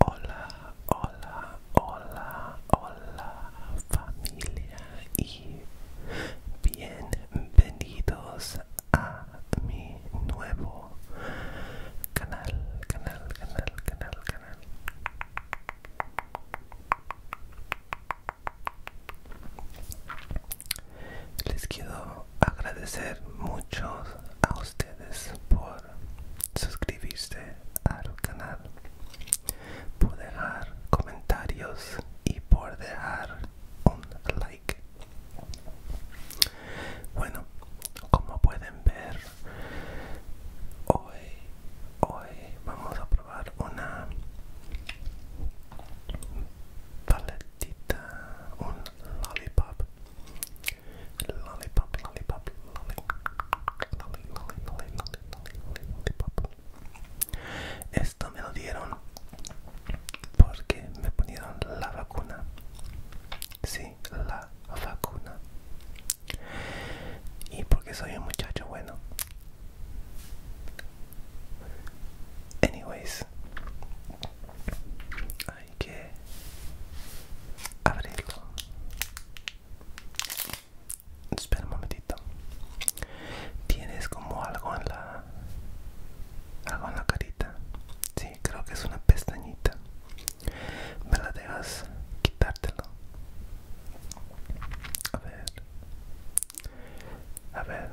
Hola, hola, hola, hola familia y bienvenidos a mi nuevo canal, canal, canal, canal, canal. Les quiero agradecer mucho a ustedes por suscribirse al canal, por dejar comentarios y por dejar un like. Bueno, como pueden ver, hoy, hoy vamos a probar una paletita, un lollipop Lollipop, lollipop, lollipop, Esto me lo dieron porque me ponieron la vacuna. Sí, la vacuna. Y porque soy un muchacho bueno. Anyways, hay que abrirlo espera un momentito tienes como algo en la algo en la carita sí creo que es una pestañita me la dejas quitártelo a ver a ver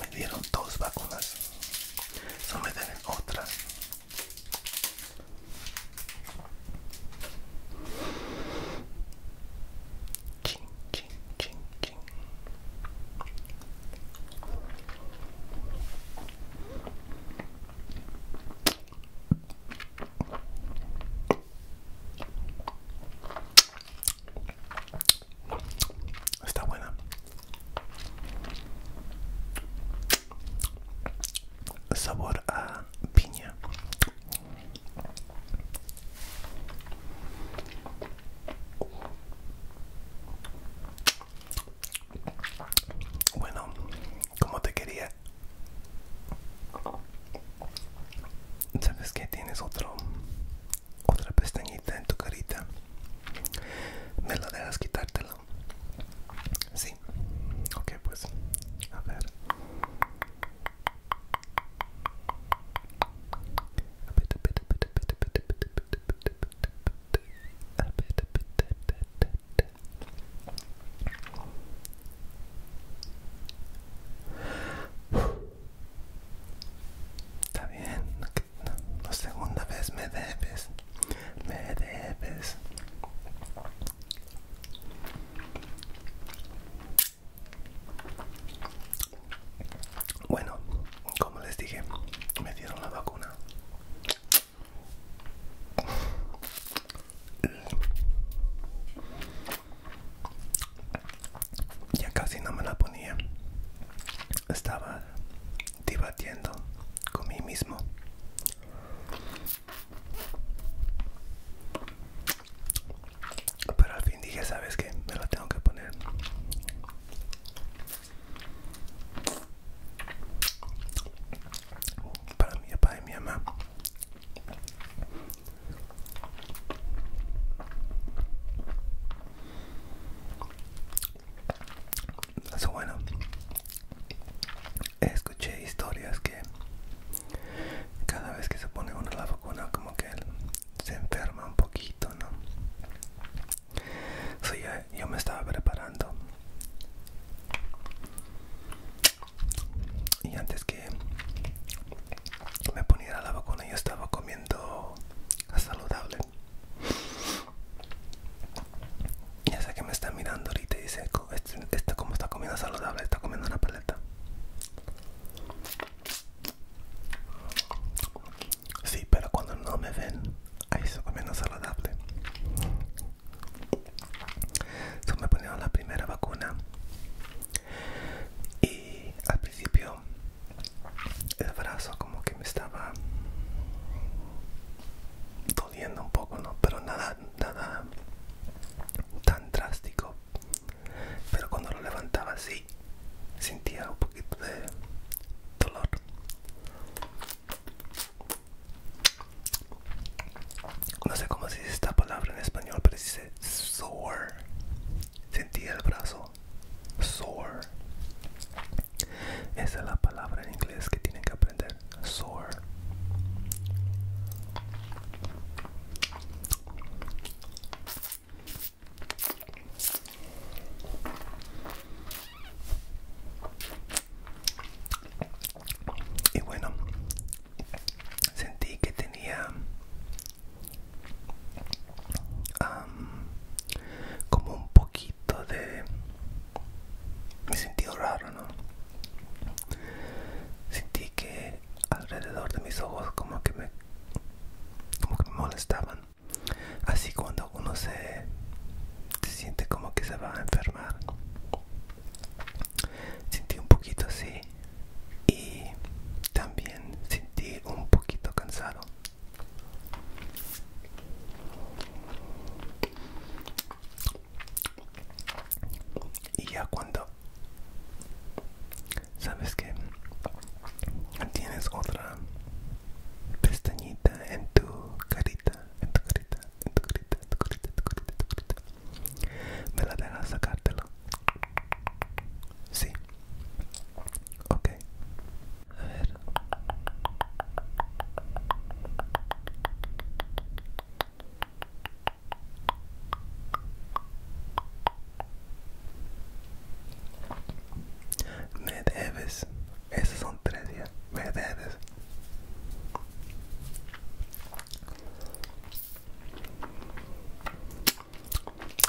Me dieron dos vacunas. No me den otra. Ching, ching, ching, ching. Está buena. Sabor a piña. Bueno, como te quería sabes que tienes otro otra pestañita en tu carita me lo dejas quitártelo? sí ok pues a ver Está bien, la segunda vez me debes, me debes. Bueno, como les dije, me dieron la vacuna. Ya casi no me la ponía. Estaba debatiendo con mí mismo. Pero al fin dije, ¿sabes qué? Me la tengo que poner. Para mi papá y mi mamá eso bueno, escuché historias que cada vez que se pone uno la vacuna como que se enferma un poquito, ¿no? So, yo me estaba preparando y antes que me poniera la vacuna yo estaba comiendo saludable ya sé que me está mirando ahorita y dice esto este como está comiendo saludable está comiendo una paleta Sí, pero cuando no me ven, ahí estoy comiendo saludable. Yo me ponían la primera vacuna y al principio el brazo como que me estaba doliendo un poco no pero nada nada tan drástico pero cuando lo levantaba así sentía un poquito de dolor no sé cómo se dice esta palabra en español, pero se dice sore. sentía el brazo. Sore. Esa es la palabra en inglés que tienen que aprender. Sore. Y bueno, sentí que tenía como un poquito de me sentí raro no sentí que alrededor de mis ojos como que me como que me molestaban así cuando uno se siente como que se va a enfermar sentí un poquito así y también sentí un poquito cansado y ya cuando sabes que tienes otra pestañita en tu carita en tu carita en tu carita tu carita tu carita, tu carita me la dejas sacártelo? sí ok a ver me debes, esas son tres ya, me debes.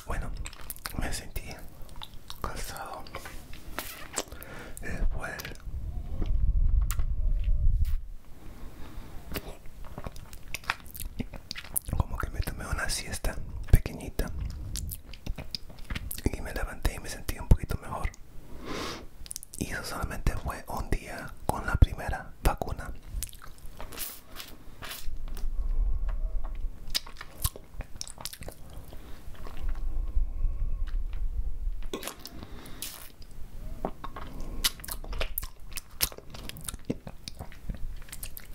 Bueno, me sentí cansado después como que me tomé una siesta pequeñita y me levanté y me sentí un poquito mejor y eso solamente fue un día con la primera vacuna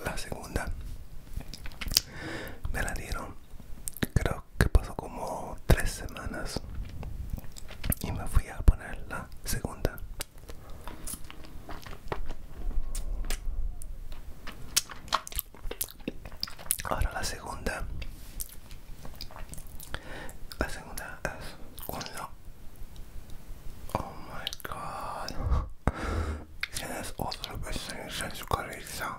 la segunda me la dieron creo que pasó como tres semanas y me fui a ponerla segunda. Ahora la segunda. La segunda es lo Oh my god. Tienes otra vez en su cabeza.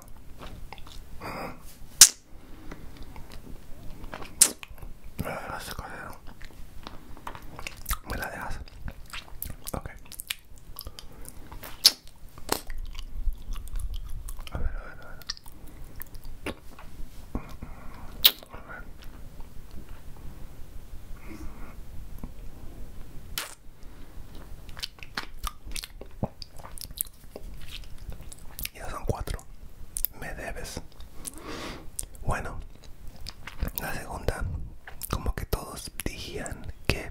Me la dejas escoger. Me la dejas. Ok. a ver, a ver. A ver. Ya son cuatro. Me debes. Bueno, la segunda, como que todos dijían que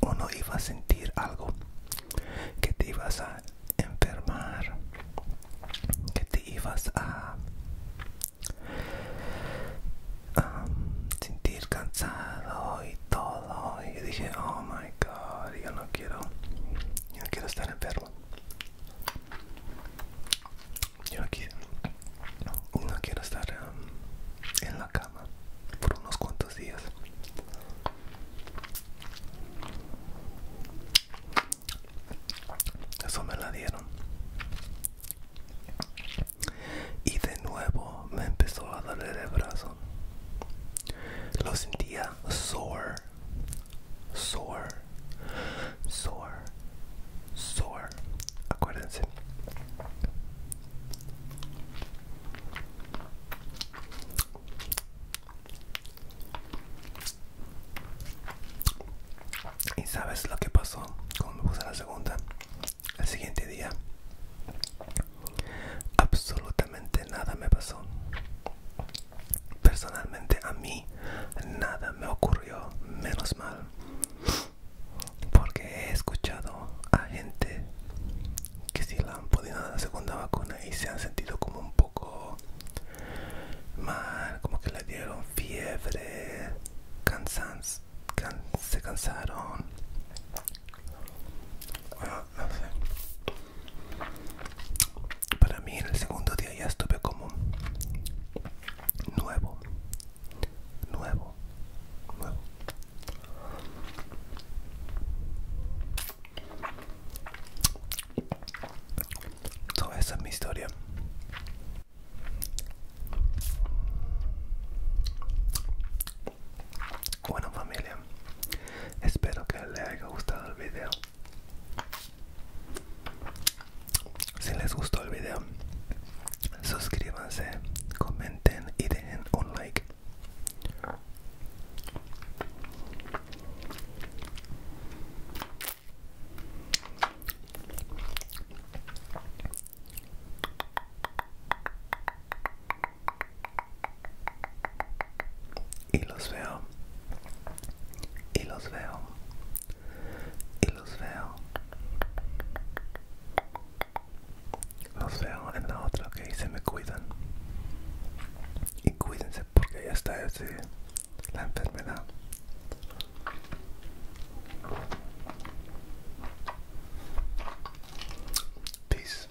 uno iba a sentir algo, que te ibas a enfermar, que te ibas a, sentir cansado y todo. Y dije, oh my god, yo no quiero, yo no quiero estar enfermo. Yo aquí no quiero estar um, en la cama por unos cuantos días. Eso me la dieron. Y de nuevo me empezó a doler el brazo. Lo sentía sore sore, sore, sore, Acuérdense. Y sabes lo que pasó cuando puse la segunda. El siguiente día, absolutamente nada me pasó. Personalmente a mí nada me ocurrió, menos mal. Porque he escuchado a gente que si la han podido dar la segunda vacuna y se han sentido como un poco mal, como que le dieron fiebre, Cansan se cansaron. Para mí en el segundo día ya estuve como nuevo, nuevo, nuevo. Toda esa es mi historia. Bueno familia, espero que les haya gustado el video. Si les gustó el video, suscríbanse, comenten y dejen un like. Y los veo y los veo y los veo los veo en la otra que okay? se me cuidan y cuídense porque ya está la enfermedad peace